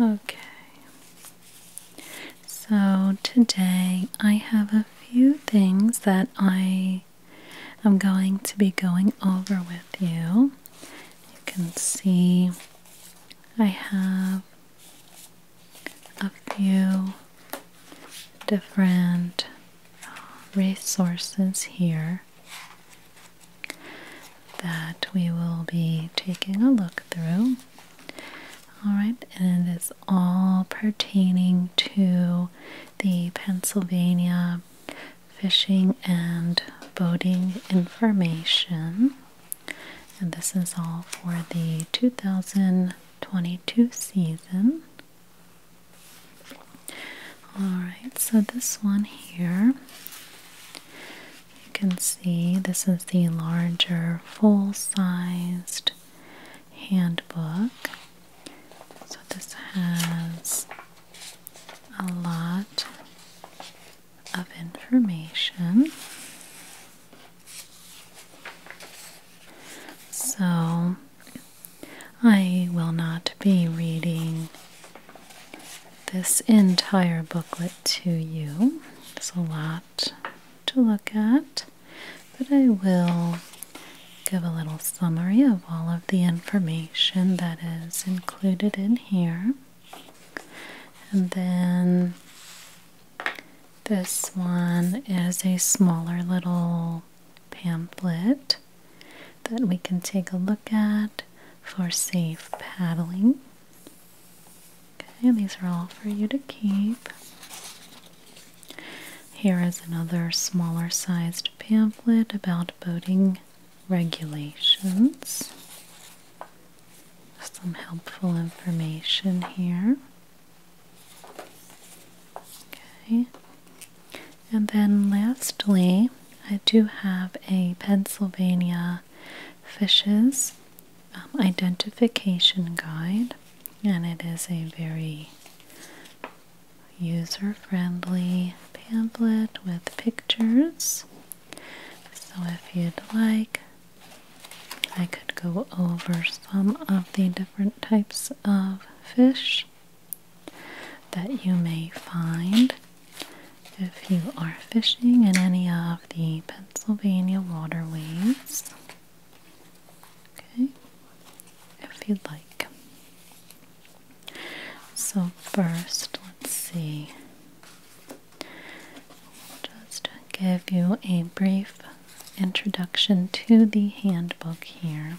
Okay, so today I have a few things that I am going to be going over with you. You can see I have a few different resources here that we will be taking a look through. All right, and it is all pertaining to the Pennsylvania fishing and boating information. And this is all for the 2022 season. Alright, so this one here, you can see this is the larger full sized handbook. So this has a lot of information. So I will not be reading this entire booklet to you. It's a lot to look at, but I will give a little summary of all of the information that is included in here. And then this one is a smaller little pamphlet that we can take a look at for safe paddling. Okay, these are all for you to keep. Here is another smaller sized pamphlet about boating regulations. Some helpful information here. Okay. And then lastly, I do have a Pennsylvania Fishes um, Identification Guide, and it is a very user friendly pamphlet with pictures. So, if you'd like, I could go over some of the different types of fish that you may find if you are fishing in any of the Pennsylvania waterways. Okay, if you'd like. So, first, let's see. Just give you a brief introduction to the handbook here.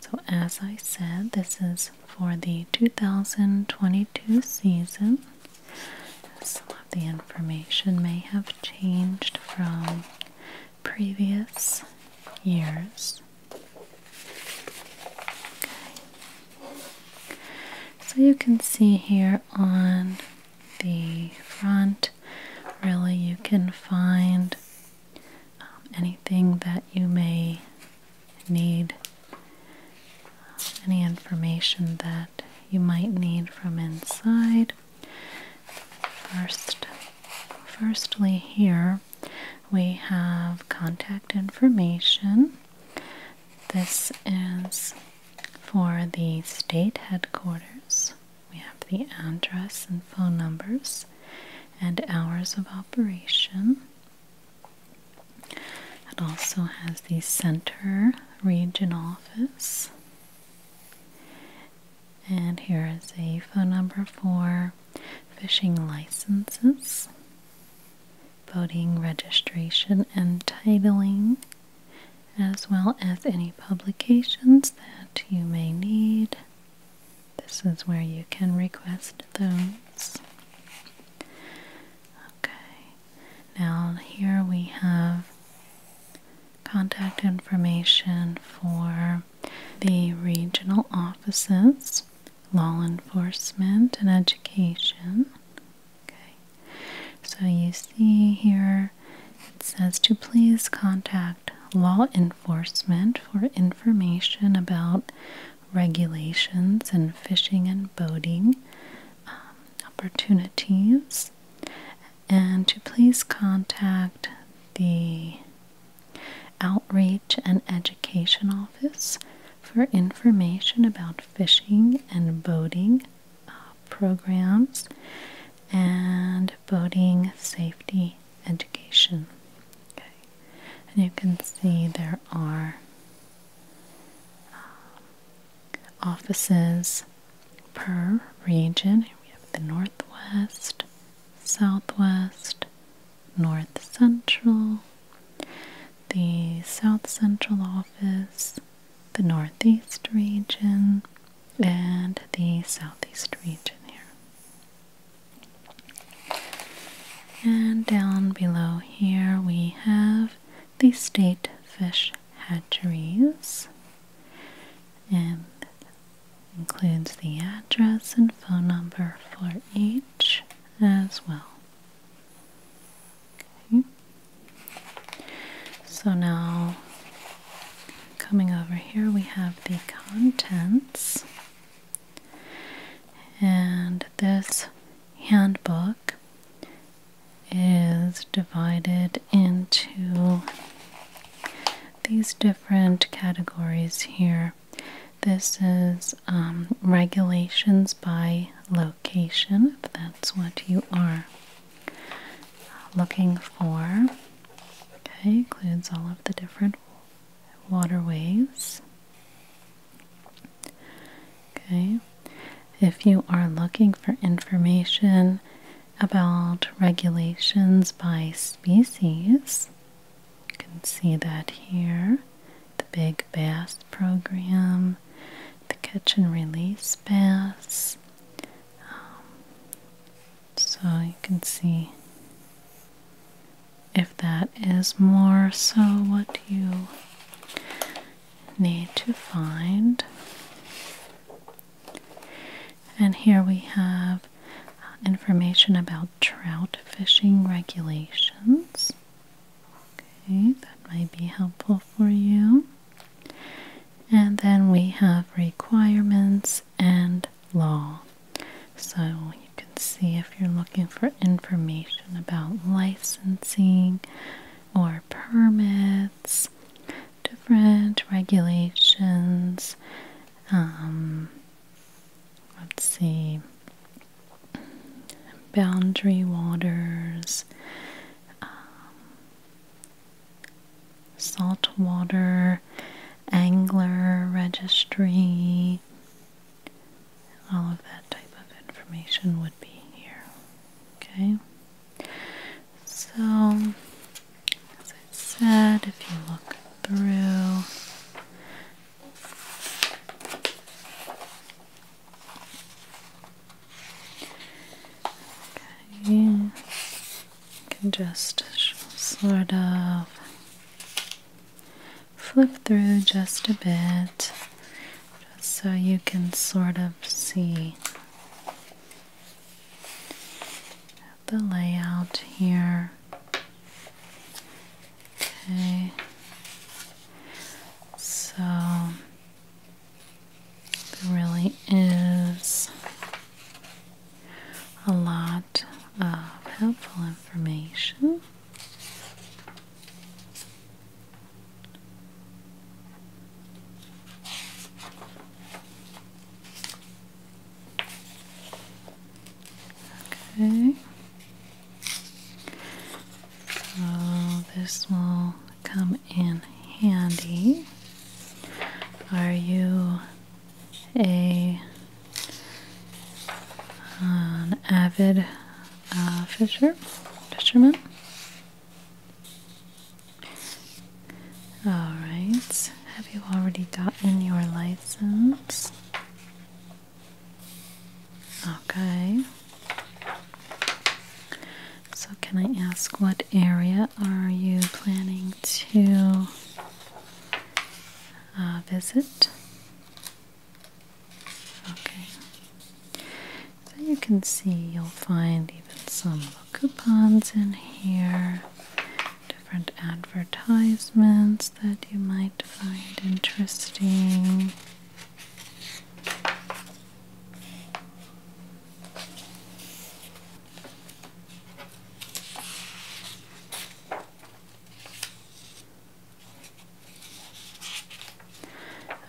So, as I said, this is for the 2022 season. Some of the information may have changed from previous years. So you can see here on the front, really, you can find um, anything that you may need any information that you might need from inside. First, firstly, here we have contact information. This is for the state headquarters. We have the address and phone numbers and hours of operation. It also has the Center Region Office. And here is a phone number for fishing licenses, voting registration and titling, as well as any publications that you may need. This is where you can request those. Okay, now here we have contact information for the regional offices, law enforcement, and education. Okay, so you see here it says to please contact law enforcement for information about regulations and fishing and boating um, opportunities, and to please contact the Outreach and Education Office for information about fishing and boating uh, programs and boating safety education. Okay. And you can see there are offices per region. We have the Northwest, Southwest, North Central, the South Central office, the Northeast region, and the Southeast region here. And down below here we have the state fish hatcheries. And includes the address and phone number for each as well. So now coming over here we have the contents and this handbook is divided into these different categories here. This is um, regulations by location, if that's what you are looking for. Okay, includes all of the different waterways. Okay, if you are looking for information about regulations by species, you can see that here the Big Bass Program, the Catch and Release Bass. Um, so you can see if that is more so what do you need to find. And here we have uh, information about trout fishing regulations. Okay, that might be helpful for you. And then we have requirements and law. So you can see if you're looking for information about licensing or permits, different regulations. Um, let's see, boundary waters, um, saltwater angler registry all of that type of information would be here. Okay? So, as I said, if you look through, okay, you can just sort of flip through just a bit just so you can sort of see the layout here. Okay, so there really is a lot of helpful information. Okay. So this will come in handy. Are you a avid uh, fisher, fisherman. All right. Have you already gotten your license? Okay. So, can I ask what area are you planning to uh, visit? Okay. So you can see you'll find even some coupons in here, different advertisements that you might find interesting.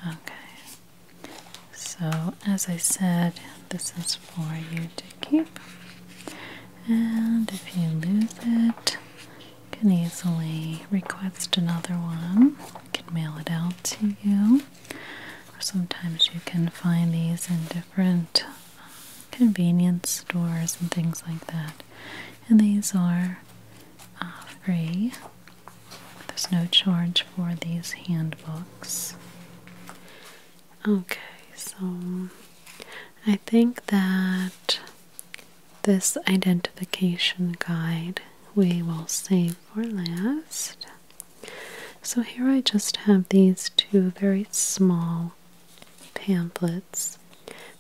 Okay, so as I said, this is for you to keep, and if you lose it, you can easily request another one. You can mail it out to you, or sometimes you can find these in different uh, convenience stores and things like that. And these are uh, free there's no charge for these handbooks. Okay, so I think that this identification guide we will save for last. So here I just have these two very small pamphlets.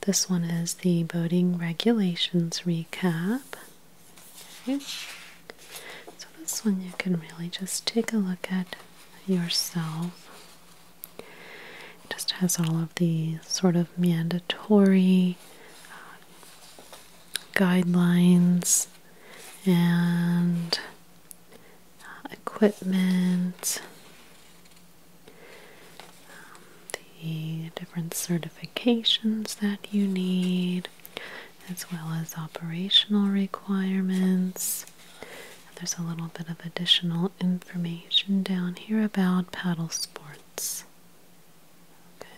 This one is the Boating Regulations Recap, so, this one you can really just take a look at yourself. just has all of the sort of mandatory uh, guidelines and uh, equipment. Um, the different certifications that you need, as well as operational requirements. There's a little bit of additional information down here about paddle sports.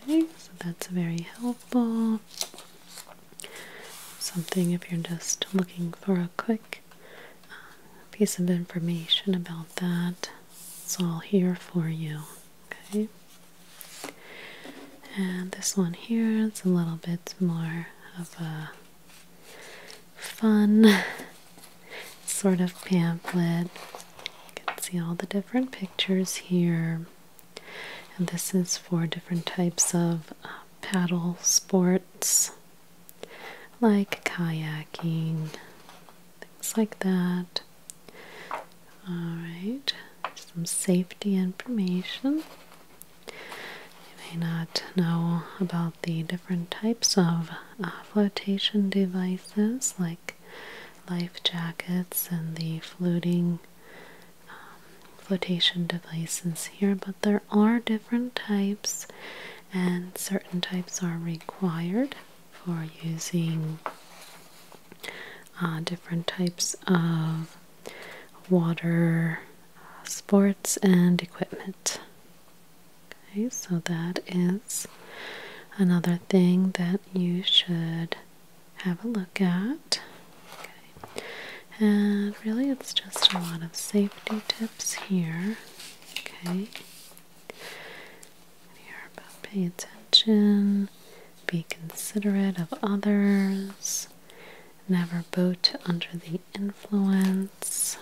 Okay, so that's very helpful. Something if you're just looking for a quick uh, piece of information about that, it's all here for you. Okay. And this one here is a little bit more of a fun sort of pamphlet. You can see all the different pictures here. And this is for different types of uh, paddle sports like kayaking, things like that. Alright, some safety information. You may not know about the different types of uh, flotation devices like life jackets and the floating um, flotation devices here, but there are different types, and certain types are required for using uh, different types of water uh, sports and equipment. Okay, so that is another thing that you should have a look at. And really, it's just a lot of safety tips here. Okay pay attention, be considerate of others, never boat under the influence,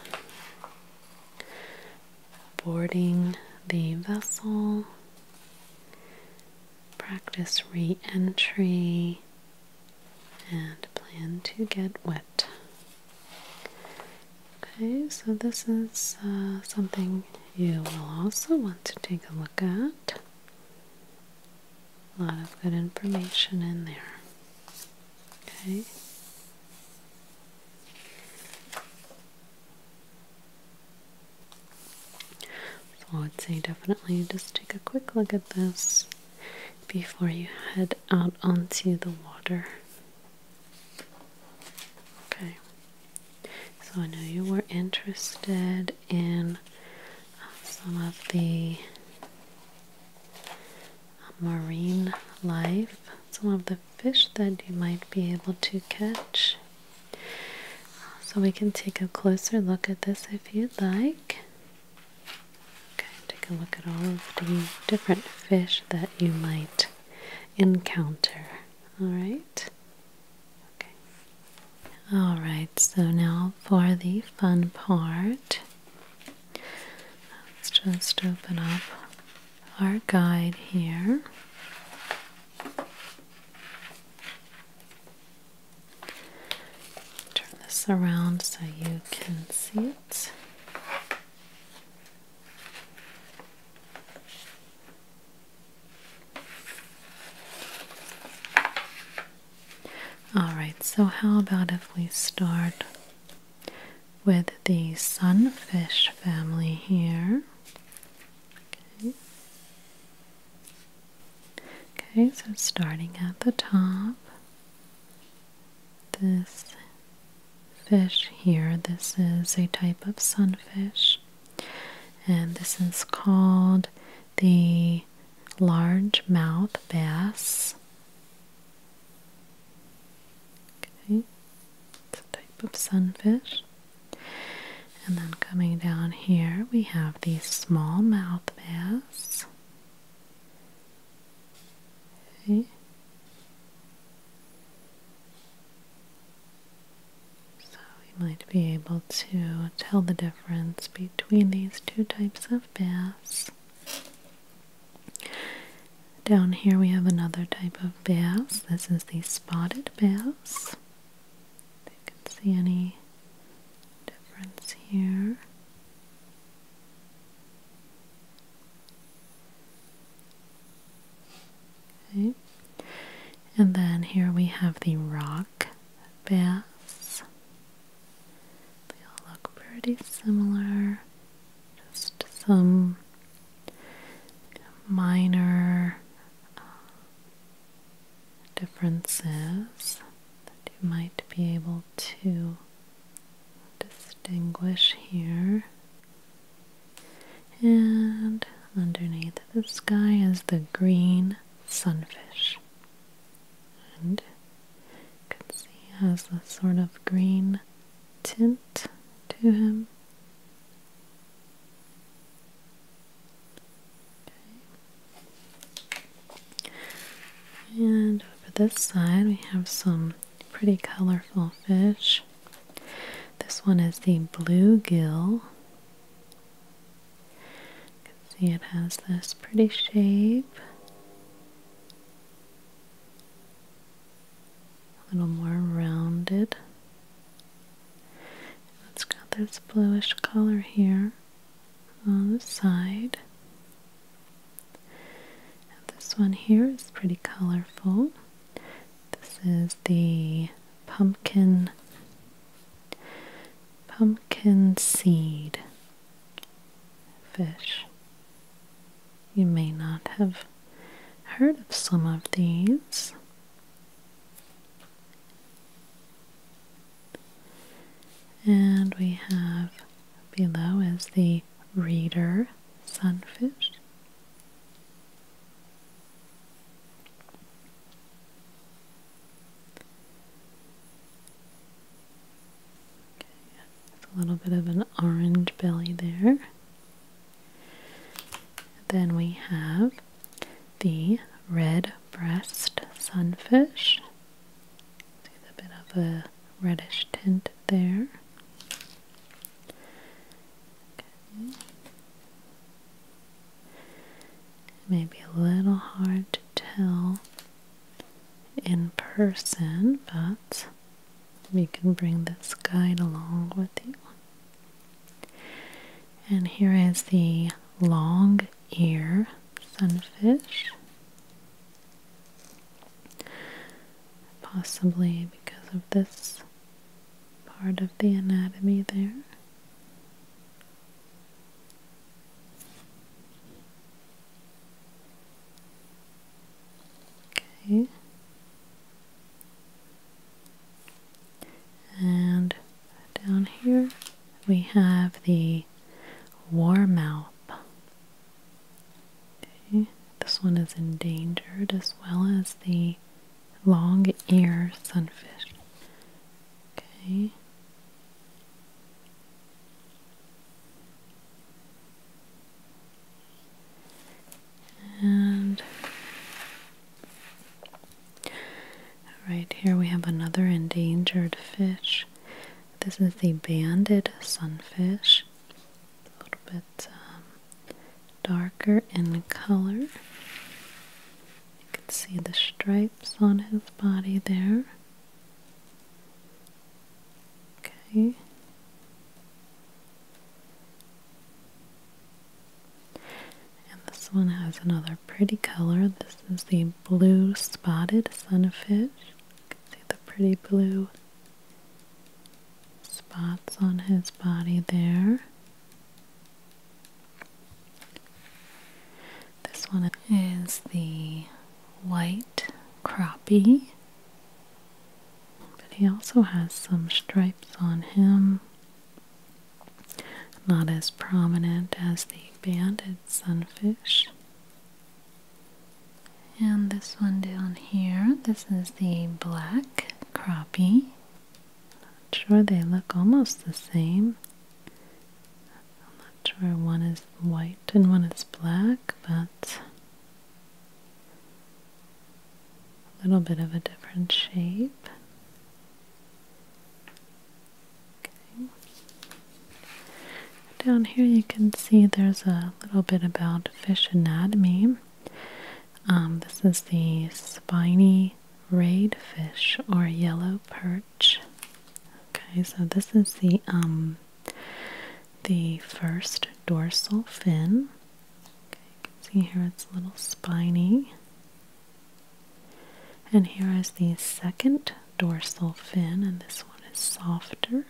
boarding the vessel, practice re entry, and plan to get wet. Okay, so this is uh, something you will also want to take a look at. A lot of good information in there. Okay. So I would say definitely just take a quick look at this before you head out onto the water. Okay. So I know you were interested in uh, some of the uh, marine life, some of the fish that you might be able to catch. So we can take a closer look at this if you'd like. Okay, take a look at all of the different fish that you might encounter. All right. Okay. All right, so now for the fun part. Let's just open up our guide here. Turn this around so you can see it. All right, so how about if we start with the sunfish family here? Okay, okay so starting at the top, this fish here, this is a type of sunfish and this is called the large mouth bass. Okay, it's a type of sunfish. And then coming down here, we have the mouth bass. Okay. So we might be able to tell the difference between these two types of bass. Down here we have another type of bass. This is the spotted bass. If you can see any difference here. And then here we have the rock bass. They all look pretty similar. Just some minor uh, differences that you might be able to distinguish here. And underneath the sky is the green sunfish. And you can see he has a sort of green tint to him. And over this side we have some pretty colorful fish. This one is the bluegill you can see it has this pretty shape. A little more rounded. It's got this bluish color here on the side. this one here is pretty colorful. This is the pumpkin pumpkin seed fish. You may not have heard of some of these. And we have below is the reader sunfish a little bit of an orange belly there. Then we have the red breast sunfish. See a bit of a reddish tint there. May be a little hard to tell in person, but we can bring this guide along with you. And here is the long ear sunfish. Possibly because of this part of the anatomy there. Okay. And down here we have the warm up. Okay. This one is endangered as well as the long ear sunfish. Okay. And right here we have another endangered fish. This is the banded sunfish. A little bit um, darker in color. You can see the stripes on his body there. Okay. And this one has another pretty color. This is the blue spotted sunfish. You can see the pretty blue spots on his body there. This one is the white crappie, but he also has some stripes on him. Not as prominent as the banded sunfish. And this one down here, this is the black crappie. Not sure they look almost the same. I'm not sure one is white and one is black, but a little bit of a different shape. Okay. Down here you can see there's a little bit about fish anatomy. Um, this is the spiny rayed fish or yellow perch. Okay, so this is the um the first dorsal fin. Okay, you can see here it's a little spiny. And here is the second dorsal fin, and this one is softer.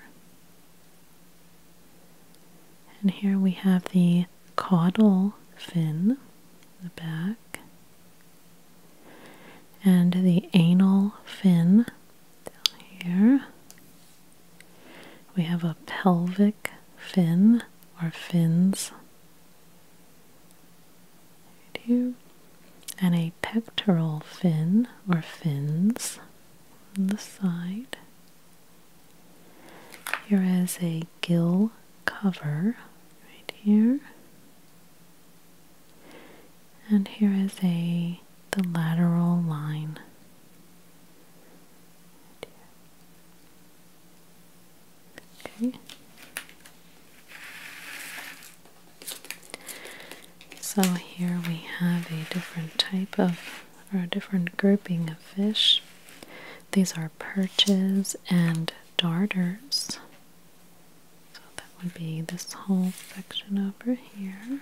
And here we have the caudal fin, the back, and the anal fin down here. We have a pelvic fin or fins here, and a pectoral fin or fins on the side. Here is a gill cover right here. And here is a the lateral line. Okay. So here we have a different type of or a different grouping of fish. These are perches and darters. So that would be this whole section over here.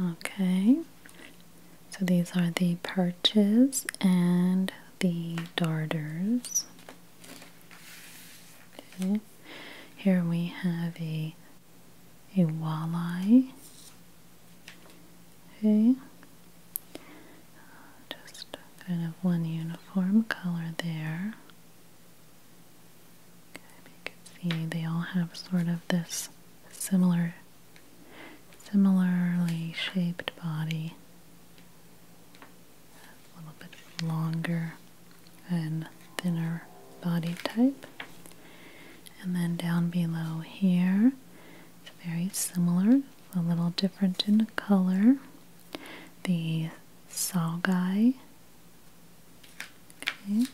Okay, so these are the perches and the darters. Okay. Here we have a a walleye Okay. Just kind of one uniform color there. Okay, you can see they all have sort of this similar, similarly shaped body. A little bit longer and thinner body type. And then down below here, it's very similar a little different in color. The Salgai. Okay.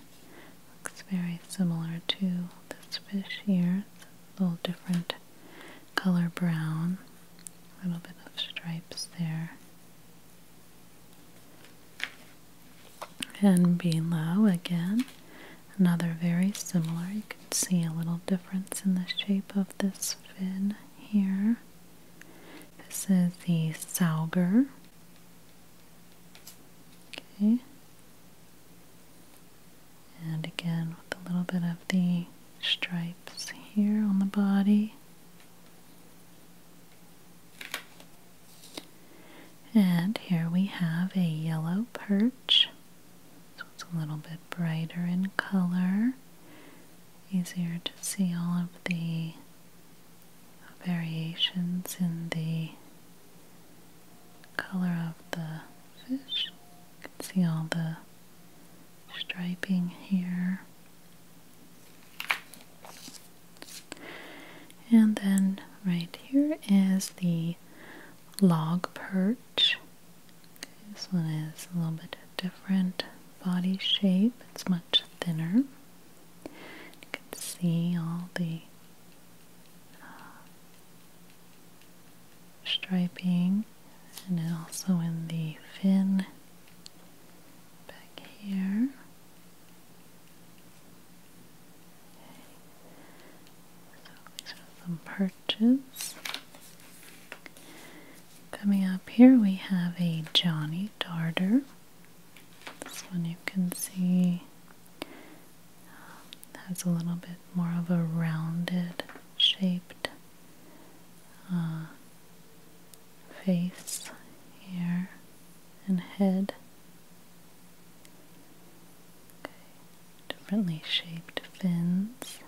Looks very similar to this fish here. a little different color brown. A little bit of stripes there. And below again, another very similar see a little difference in the shape of this fin here. This is the sauger. Okay. And again with a little bit of the stripes here on the body. And here we have a yellow perch so it's a little bit brighter in color, easier to see all of the variations in the color of the fish. You can see all the striping here. And then right here is the log perch. This one is a little bit different body shape. It's much thinner. You can see all the uh, striping and also in the fin back here. So some perches. Coming up here we have a Johnny Darter. This one you can see um, has a little bit more of a rounded shaped uh, face here and head. Okay differently shaped fins.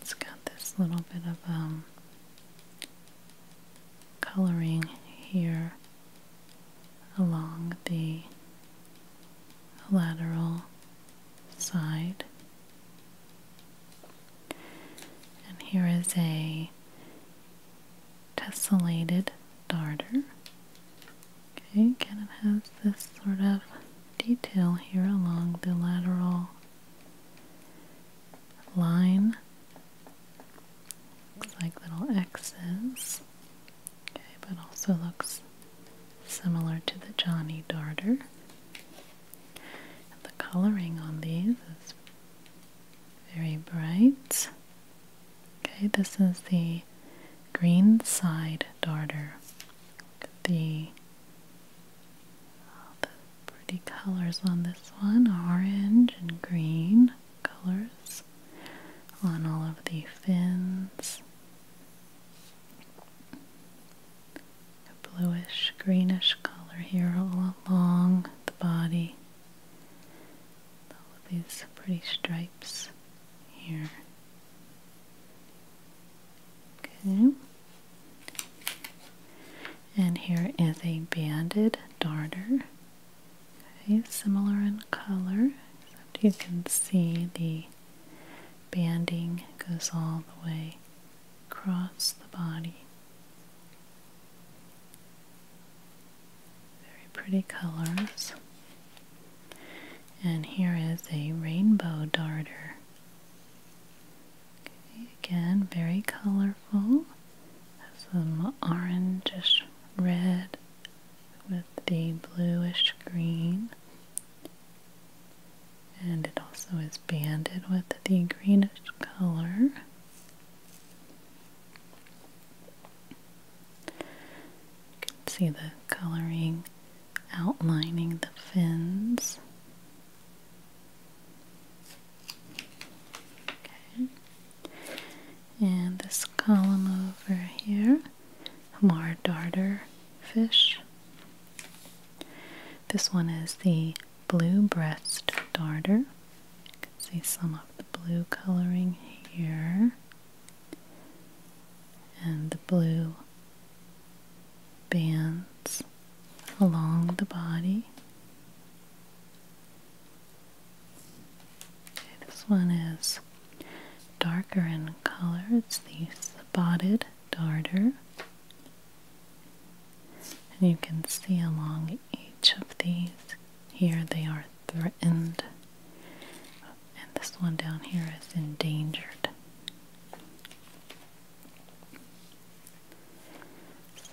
It's got this little bit of um, coloring here along the lateral side. And here is a tessellated darter. Okay, again it has this sort of detail here along the lateral line. Looks like little X's. Okay, but also looks similar to the Johnny darter. the coloring on these is very bright. Okay, this is the green side darter. The, oh, the pretty colors on this one orange and green colors on all of the fins. A bluish greenish color here all along the body. All of these pretty stripes here. Okay. And here is a banded darter. Okay, similar in color, except you can see the banding goes all the way across the body. Very pretty colors. And here is a rainbow darter. again, very colorful. Has some orangish red with the bluish green. And it also is banded with the greenish color. You can see the coloring outlining the fins. Okay. And this column over here, more darter fish. This one is the blue breast darter. You can see some of the blue coloring here and the blue bands along the body. this one is darker in color. It's the spotted darter. And you can see along each of these, here they are threatened and this one down here is endangered.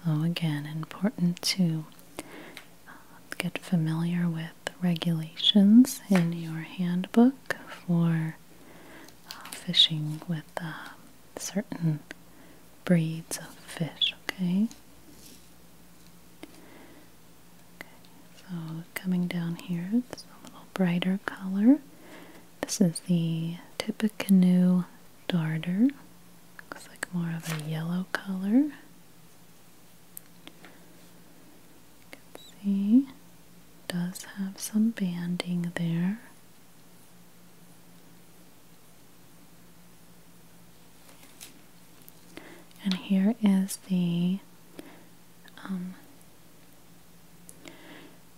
So, again, important to uh, get familiar with regulations in your handbook for uh, fishing with uh, certain breeds of fish, okay? so coming down here, it's a little brighter color. This is the Tippecanoe Darter. Looks like more of a yellow color. You can see does have some banding there. And here is the um,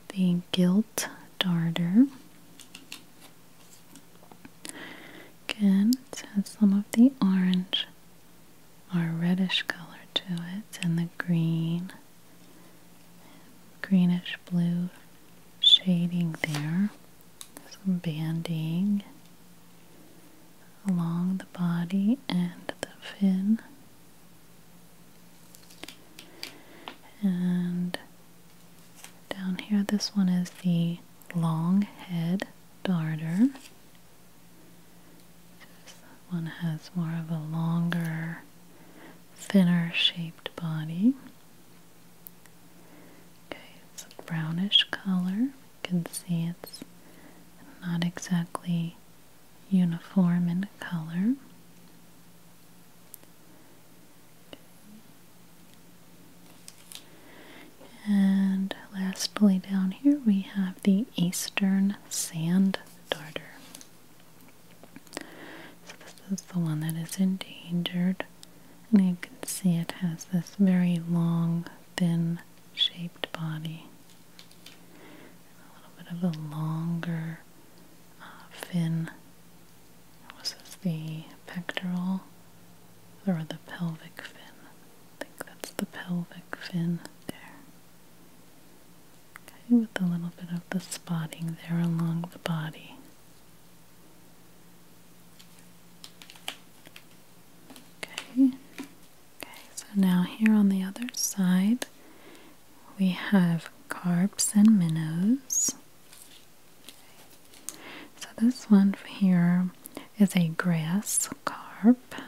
the gilt darter. Again, it has some of the orange or reddish color to it, and the green, greenish blue shading there. Some banding along the body and the fin and down here, this one is the long head darter. one has more of a longer, thinner shaped body. Okay, it's brownish color. You can see it's not exactly uniform in color. And lastly, down here we have the Eastern Sand Darter. So, this is the one that is endangered, and you can see it has this very long, thin shaped body a little bit of a longer uh, fin. Was this the pectoral or the pelvic fin? I think that's the pelvic fin there. Okay, with a little bit of the spotting there along the body. Okay, Okay, so now here on the other side we have carps and minnows. So this one here is a grass carp. You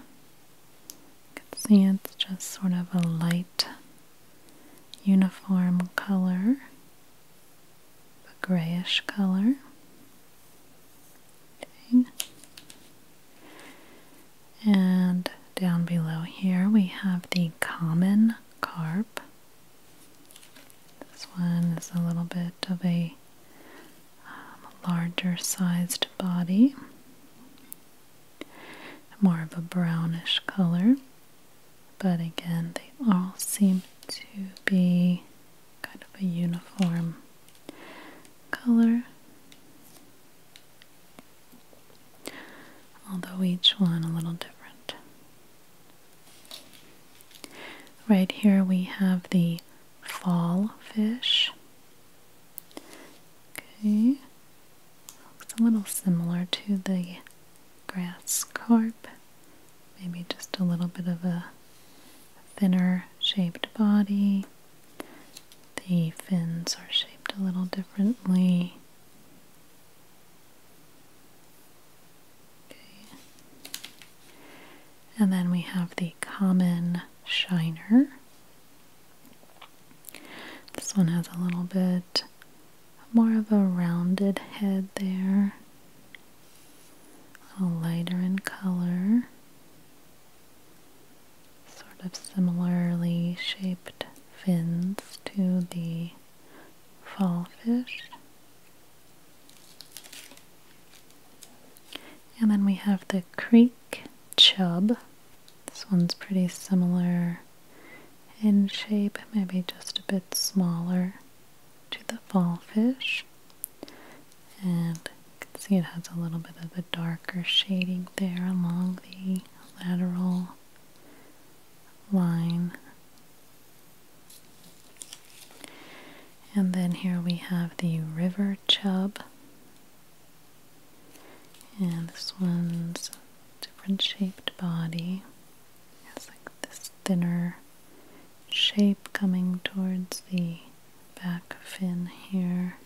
can see it's just sort of a light uniform color, a grayish color. And down below here we have the common carp. This one is a little bit of a um, larger sized body, more of a brownish color, but again, they all seem to be kind of a uniform color although each one a little different. Right here we have the fall fish. Okay, looks a little similar to the grass carp, maybe just a little bit of a thinner shaped body. The fins are shaped a little differently. Okay. And then we have the common shiner. This one has a little bit more of a rounded head there, a little lighter in color sort of similarly shaped fins to the fall fish. And then we have the creek chub. This one's pretty similar in shape, maybe just a bit smaller to the fall fish. And you can see it has a little bit of a dark darker shading there along the lateral line. And then here we have the river chub. And this one's different shaped body. It's like this thinner shape coming towards the back fin here.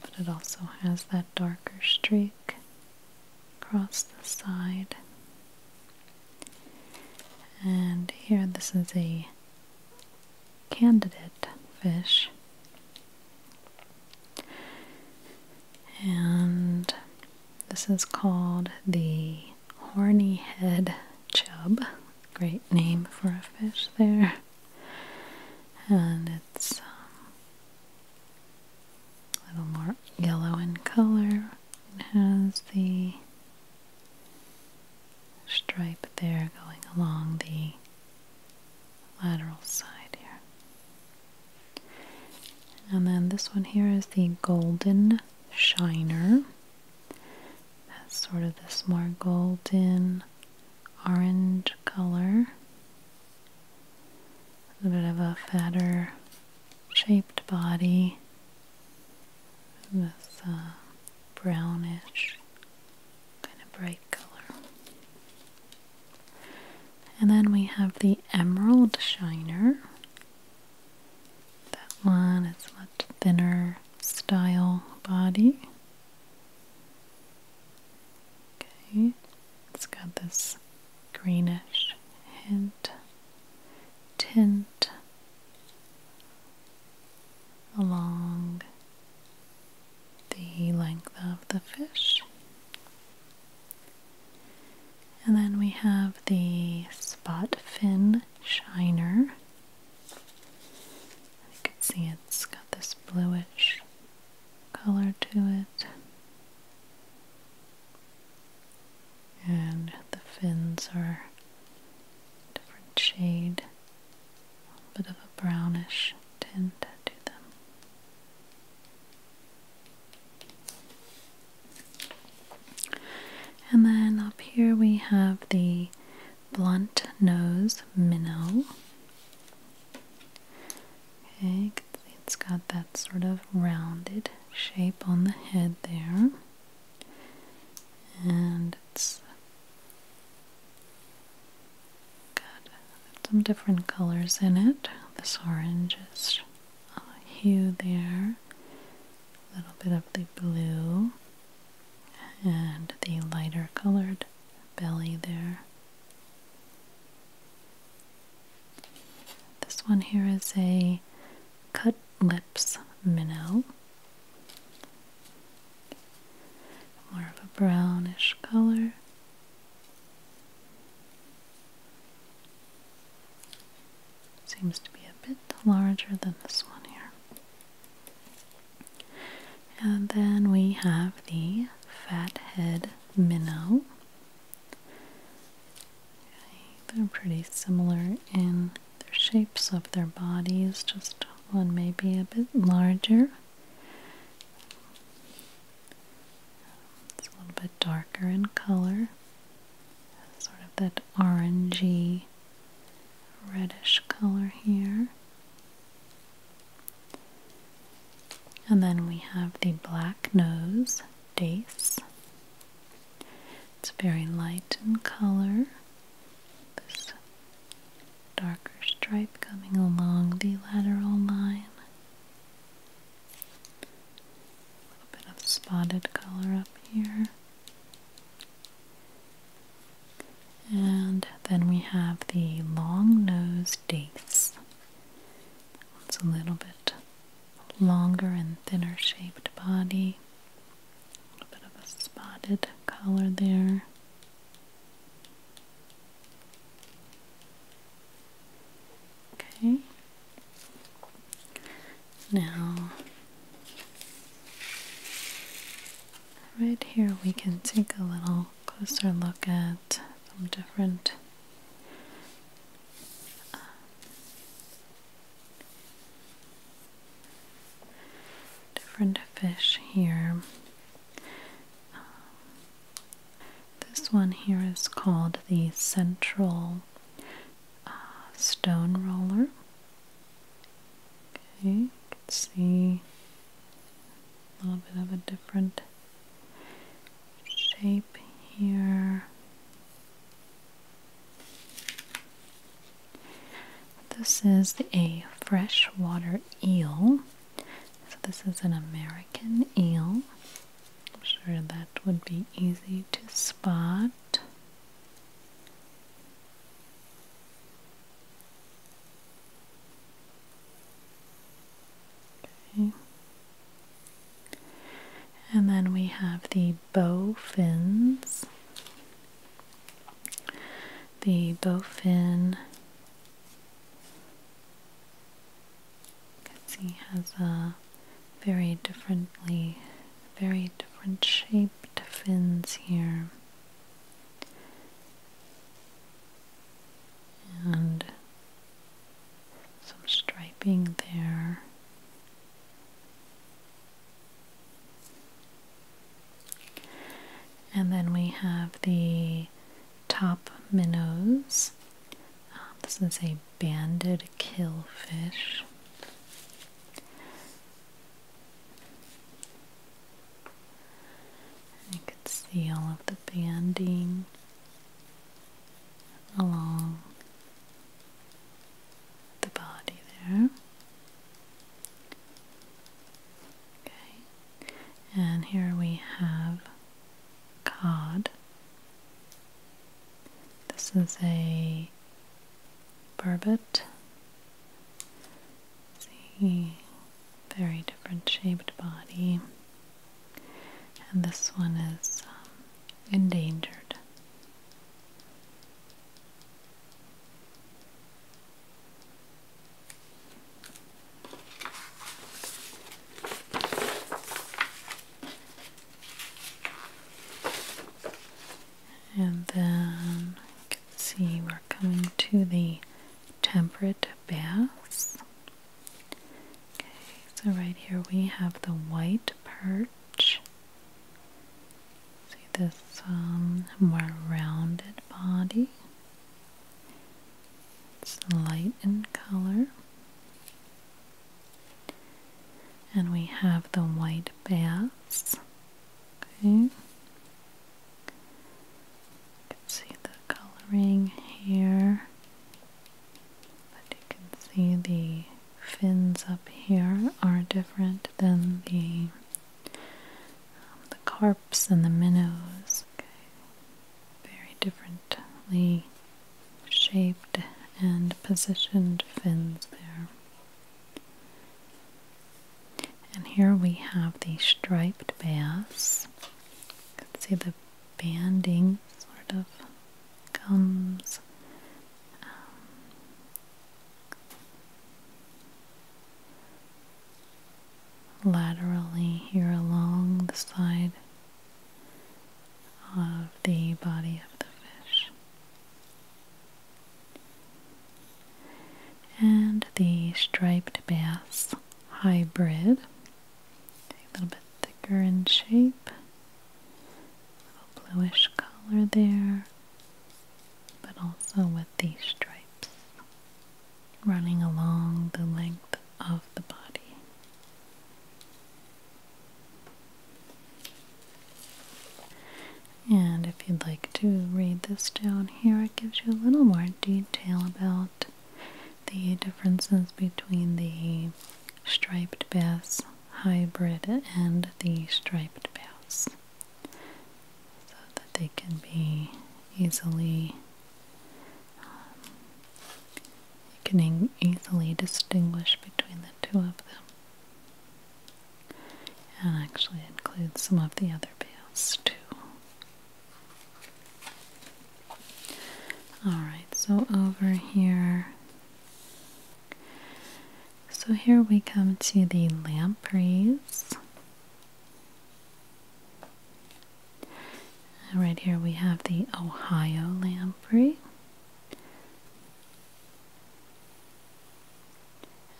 But it also has that darker streak across the side. And here, this is a candidate fish. And this is called the horny head chub. Great name for a fish there. And it's um, a little more yellow in color. It has the stripe there going along the lateral side here. And then this one here is the golden shiner. That's sort of this more golden orange color. A bit of a fatter shaped body. With a uh, brownish kind of bright color. And then we have the emerald shiner. That one is much thinner style body. Okay, it's got this greenish hint, tint along the length of the fish. And then we have the spot fin shiner you can see it's got this bluish color to it. And the fins are a different shade, a bit of a brownish tint to them. And then up here we have the blunt nose minnow. Okay, it's got that sort of rounded shape on the head there. And it's got some different colors in it. This orange is a hue there, a little bit of the blue and the lighter colored belly there. This one here is a cut lips minnow. More of a brownish color. Seems to be a bit larger than this one here. And then we have the fathead minnow. they're pretty similar in their shapes of their bodies, just one may be a bit larger. a little bit darker in color, sort of that orangey reddish color here. And then we have the black nose dace. It's very light in color. This darker stripe coming along the lateral line. A little bit of spotted color up here. And then we have the long-nosed dates. It's a little bit longer and thinner shaped body. A little bit of a spotted color there. Okay. Now, right here, we can take a little closer look at some different uh, different fish here. this one here is called the central uh, stone roller. Okay, you can see a little bit of a different shape here. This is a freshwater eel. So, this is an American eel. I'm sure that would be easy to spot. And then we have the bow fins. The bow fin you can see has a very differently very different shaped fins here and some striping there. And then we have the top minnows. Uh, this is a banded killfish. And you can see all of the banding along the body there. Okay, and here we have cod. This is a Barbet. See, very different shaped body. And this one is um, endangered and then you can see we're coming to the temperate bass. Okay, so right here we have the white perch. See this um, more rounded body. It's light in color. And we have the white bass. Okay. You can see the coloring here, but you can see the fins up here are different than the um, the carps and the minnows. Okay. Very differently shaped and positioned fins there. And here we have the striped bass. see the banding sort of comes um, laterally here along the side of the body of the fish and the striped bass hybrid. A little bit thicker in shape, a bluish color there, but also with the stripes running along the length of the body. And if you'd like to read this down here, it gives you a little more detail about the differences between the striped bass hybrid and the striped bass so that they can be easily um, can easily distinguish between the two of them and actually include some of the other bills too. Alright, so over here. So here we come to the lampreys. right here we have the Ohio lamprey.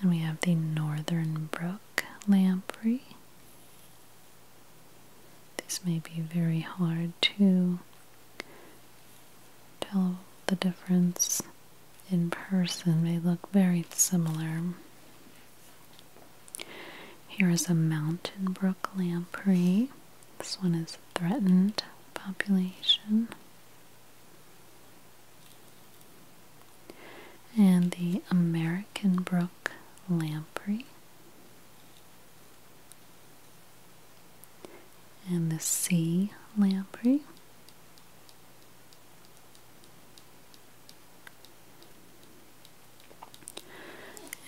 And we have the northern brook lamprey. This may be very hard to tell the difference in person. They look very similar. Here is a mountain brook lamprey. This one is threatened population and the American brook lamprey, and the sea lamprey.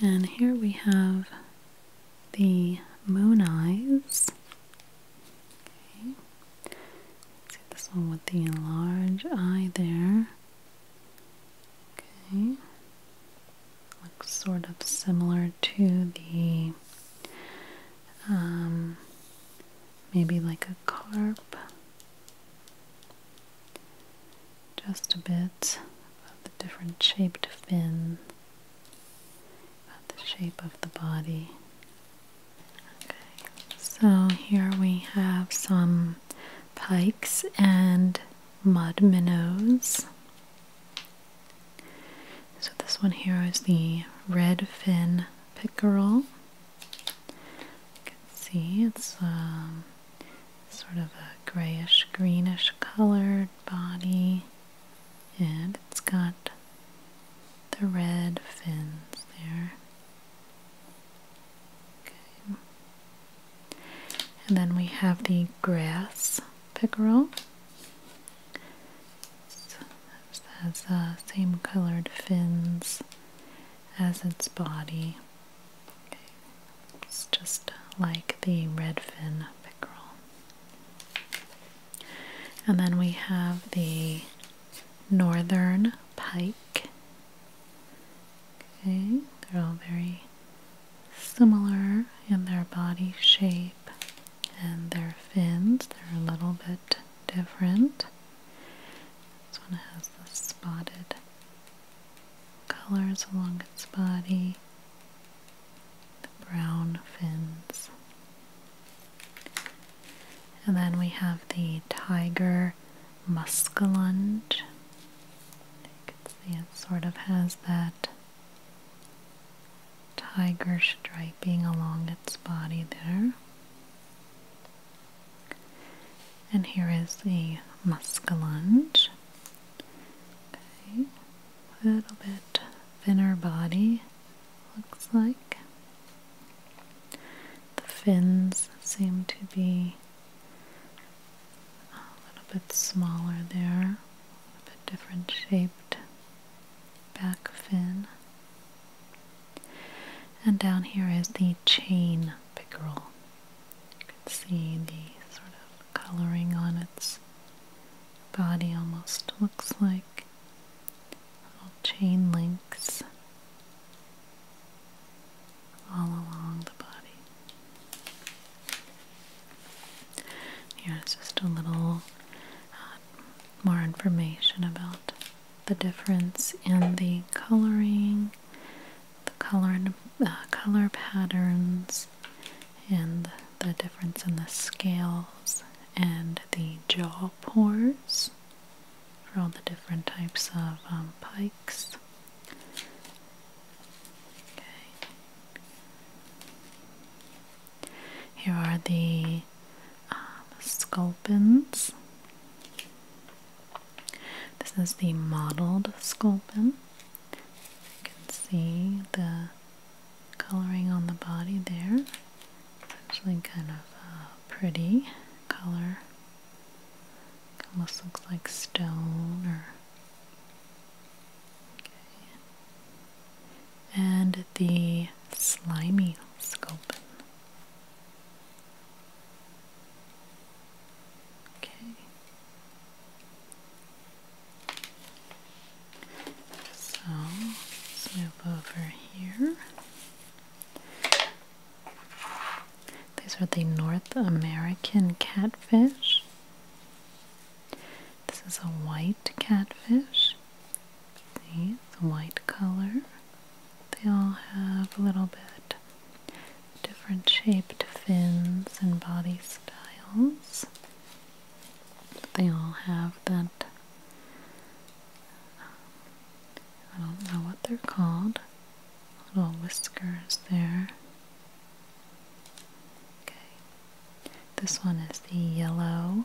And here we have the moon eyes see this one with the large eye there. Okay. Looks sort of similar to the um, maybe like a carp. Just a bit of the different shaped fin, about the shape of the body so here we have some pikes and mud minnows. So this one here is the red fin pickerel. see it's um, sort of a grayish greenish colored body and it's got the red fins there. And then we have the grass pickerel. So has the uh, same colored fins as its body. It's just like the redfin pickerel. And then we have the northern pike. Okay, they're all very similar in their body shape and their fins. They're a little bit different. This one has the spotted colors along its body, the brown fins. And then we have the tiger muskellunge. You can see it sort of has that tiger striping along its body there. And here is the muskellunge. Okay, a little bit thinner body, looks like. The fins seem to be a little bit smaller there, a bit different shaped back fin. And down here is the chain pickerel. You can see the sort of coloring on its body almost looks like little chain links all along the body. Here is just a little uh, more information about the difference in the coloring, the color uh, color patterns, and the difference in the scales and the jaw pores for all the different types of um, pikes. Okay. Here are the um, sculpins. This is the mottled sculpin. You can see the coloring on the body there actually kind of a pretty color. Almost looks like stone or. Okay. And the slimy sculpin. Okay. So move over here. These are the North American catfish. This is a white catfish. See, the white color. They all have a little bit different shaped fins and body styles. They all have that I don't know what they're called. Little whiskers there. Okay. This one is the yellow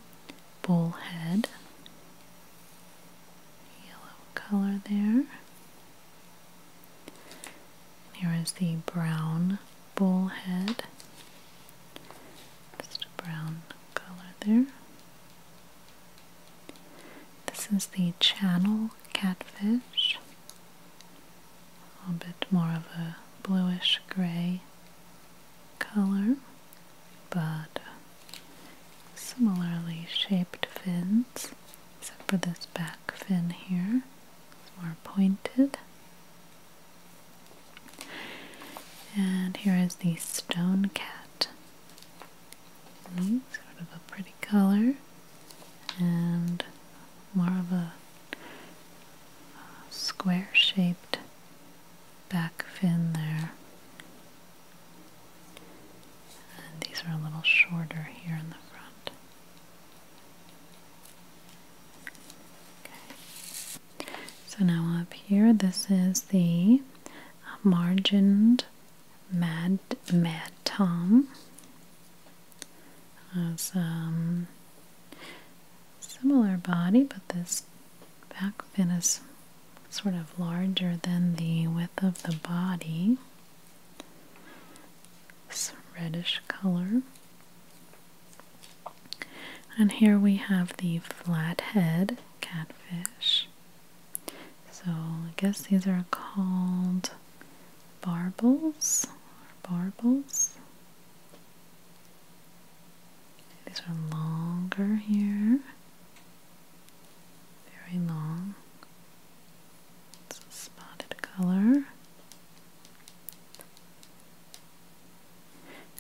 bullhead. Yellow color there. here is the brown bullhead. Just a brown color there. This is the channel catfish, a bit more of a bluish gray color, but similarly shaped fins, except for this back fin here, it's more pointed. And here is the stone cat. Sort of a pretty color and more of a square shaped back fin there. And these are a little shorter here in the front. Okay. So now up here, this is the margined Mad Mad Tom has a um, similar body, but this back fin is sort of larger than the width of the body. It's reddish color. And here we have the flathead catfish. So I guess these are called barbels. or barbles. These are longer here. Very long. It's a spotted color.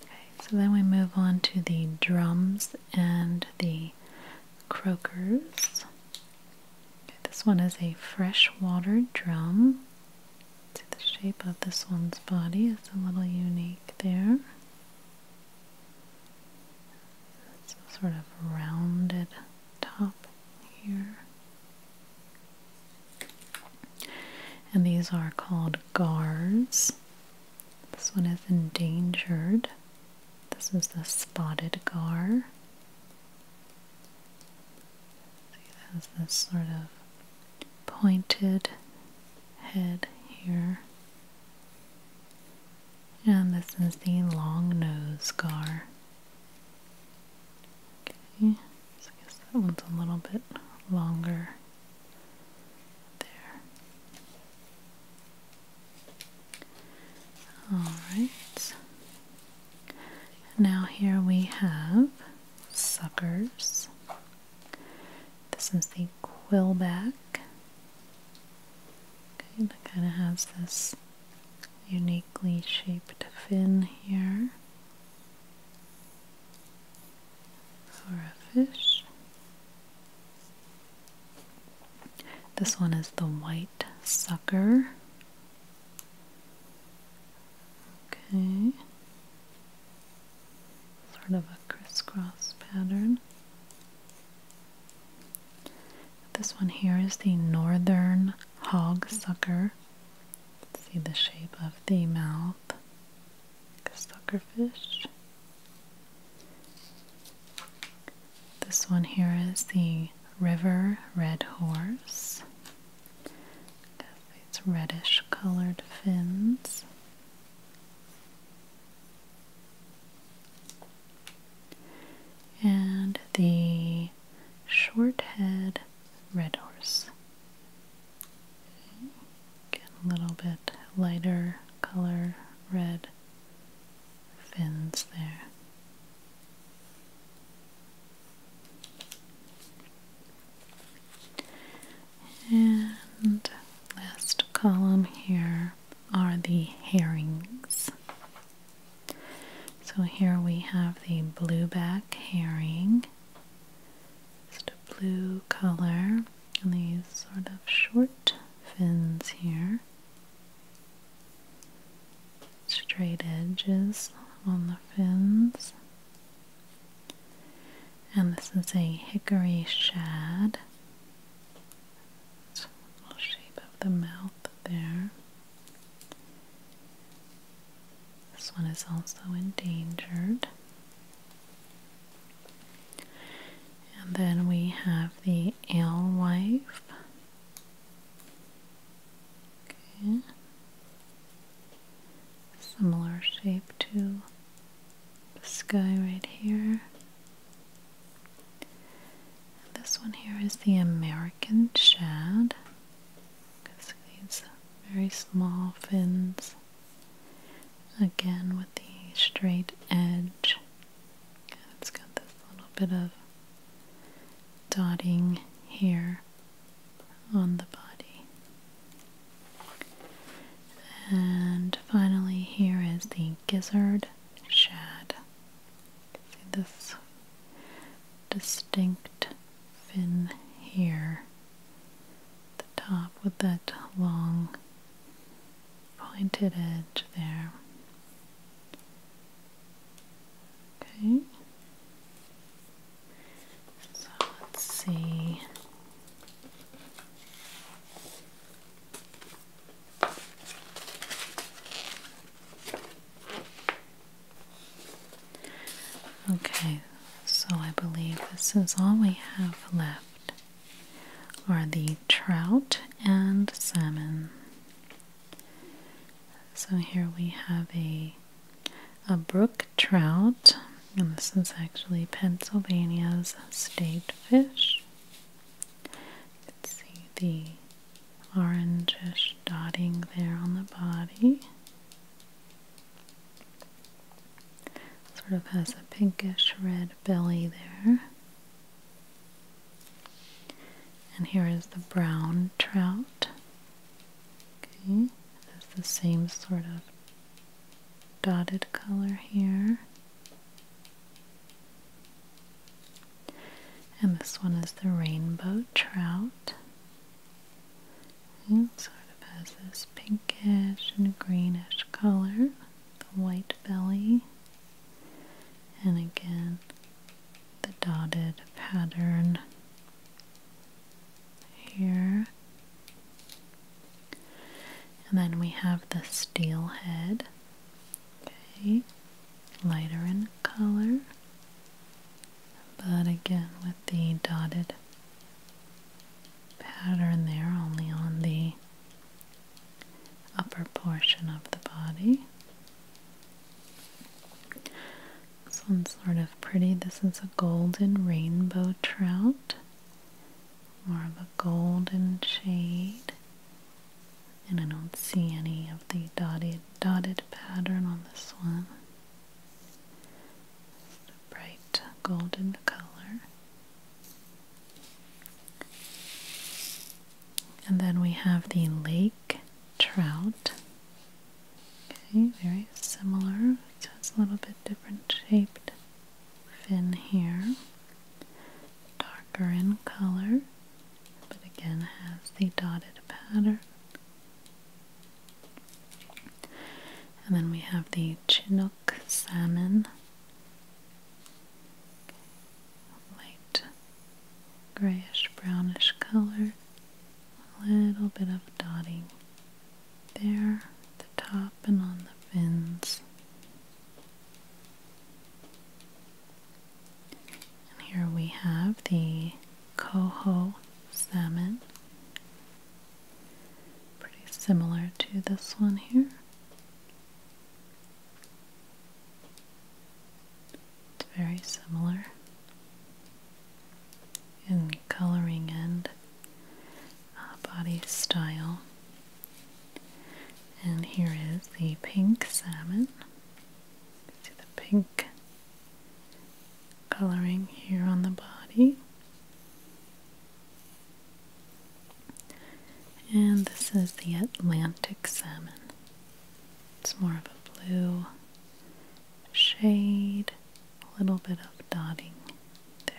Okay, so then we move on to the drums and the croakers. this one is a freshwater drum. See the shape of this one's body is a little unique there. It's sort of rounded top here. And these are called gars. This one is endangered. This is the spotted gar. It has this sort of pointed head here. And this is the long nose gar. Okay, so I guess that one's a little bit longer there. Alright. Now here we have suckers. This is the quillback. Okay, it kind of has this uniquely shaped fin here for a fish. This one is the white sucker. Okay. Sort of a crisscross pattern. This one here is the northern hog sucker. See the shape of the mouth. Like a suckerfish. This one here is the River Red Horse. It's reddish colored fins. And the short head red horse. Get a little bit lighter color red fins there. And last column here are the herrings. So here we have the blueback herring, just a blue color, and these sort of short fins here straight edges on the fins. And this is a hickory shad. shape of the mouth there. This one is also endangered. And then we have the Alewife. Okay. Similar shape to this guy right here. this one here is the American Shad. Because these very small fins. Again with the straight edge and it's got this little bit of dotting here on the body. And finally, here is the gizzard shad. See this distinct fin here, the top with that long pointed edge there. Okay. So let's see. Okay, so I believe this is all we have left are the trout and salmon. So here we have a a brook trout, and this is actually Pennsylvania's state fish. You can see the orangish dotting there on the body. Sort of has a pinkish red belly there. And here is the brown trout. Okay, it's the same sort of dotted color here. And this one is the rainbow trout. sort of has this pinkish and greenish color, the white belly, and again the dotted pattern here. And then we have the steel head, okay, lighter in color, but again with the dotted pattern there only on the upper portion of the body. This one's sort of pretty. This is a golden rainbow trout, more of a golden shade. And I don't see any of the dotted, pattern on this one. bright golden color. And then we have the lake trout. Okay, very similar. So it's a little bit different shaped fin here. Darker in color, but again has the dotted pattern. And then we have the Chinook salmon light grayish brownish color, a little bit of dotting there at the top and on the fins. And here we have the coho salmon. Pretty similar to this one here. It's very similar in coloring and uh, body style. And here is the pink salmon. See the pink coloring here on the body. And this is the Atlantic salmon. It's more of a blue shade, a little bit of dotting there.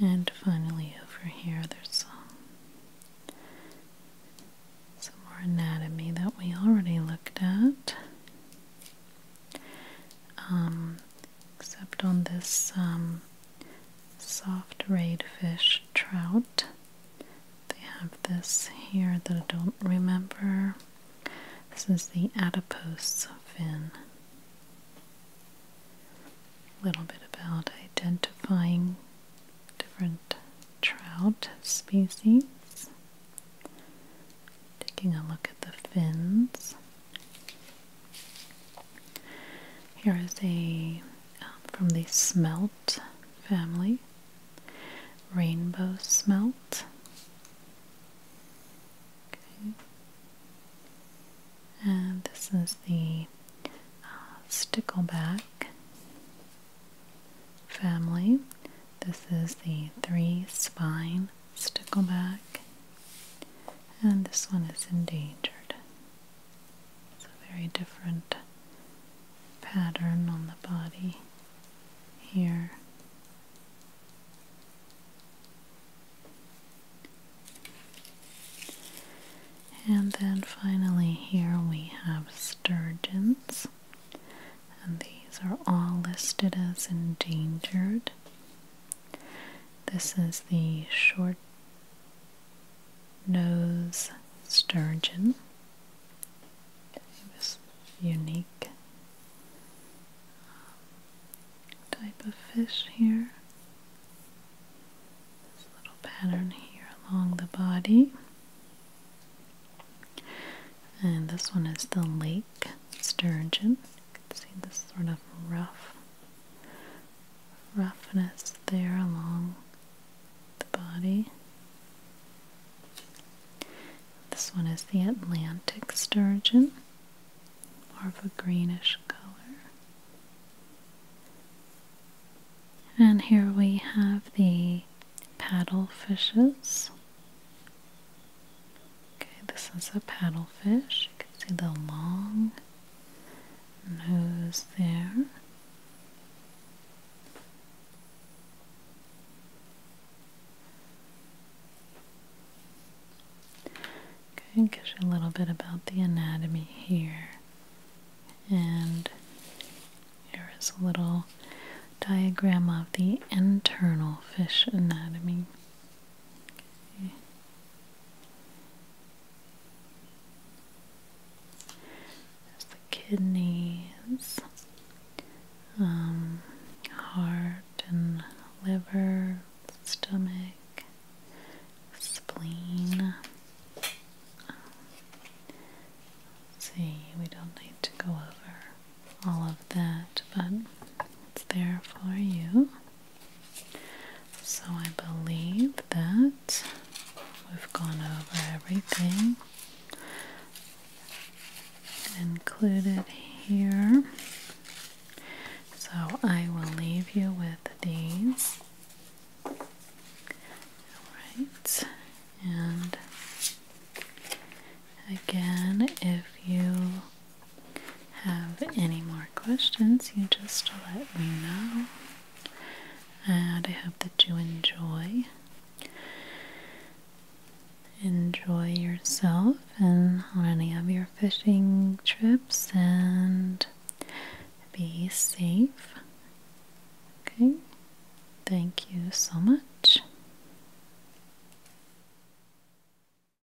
And finally, over here, there's some, more anatomy that we already looked at. Um, except on this um, soft rayed fish trout. They have this here that I don't remember. This is the adipose fin. A little bit about identifying different trout species. Taking a look at the fins. Here is a um, from the smelt family, rainbow smelt. Okay. And this is the uh, stickleback family. This is the three spine stickleback, and this one is endangered. It's a very different pattern on the body here. And then finally, here we have sturgeons, and these are all listed as endangered. This is the short nose sturgeon. It was unique um, type of fish here. This little pattern here along the body. And this one is the lake sturgeon. You can see this sort of rough roughness there along the body. This one is the Atlantic sturgeon, more of a greenish color. And here we have the paddle fishes. Okay, this is a paddlefish. You can see the long nose there. Okay, give you a little bit about the anatomy here. And here is a little diagram of the internal fish anatomy. Okay. There's the kidneys, um, heart and liver, stomach, spleen. Um, see, we don't need to go over all of that, but it's there for you. So I believe that we've gone over everything included here. So I will leave you with these. Alright, and again, if you have any more questions, you just let me know. And I hope that you enjoy. Enjoy yourself and on any of your fishing trips and be safe. Okay, thank you so much.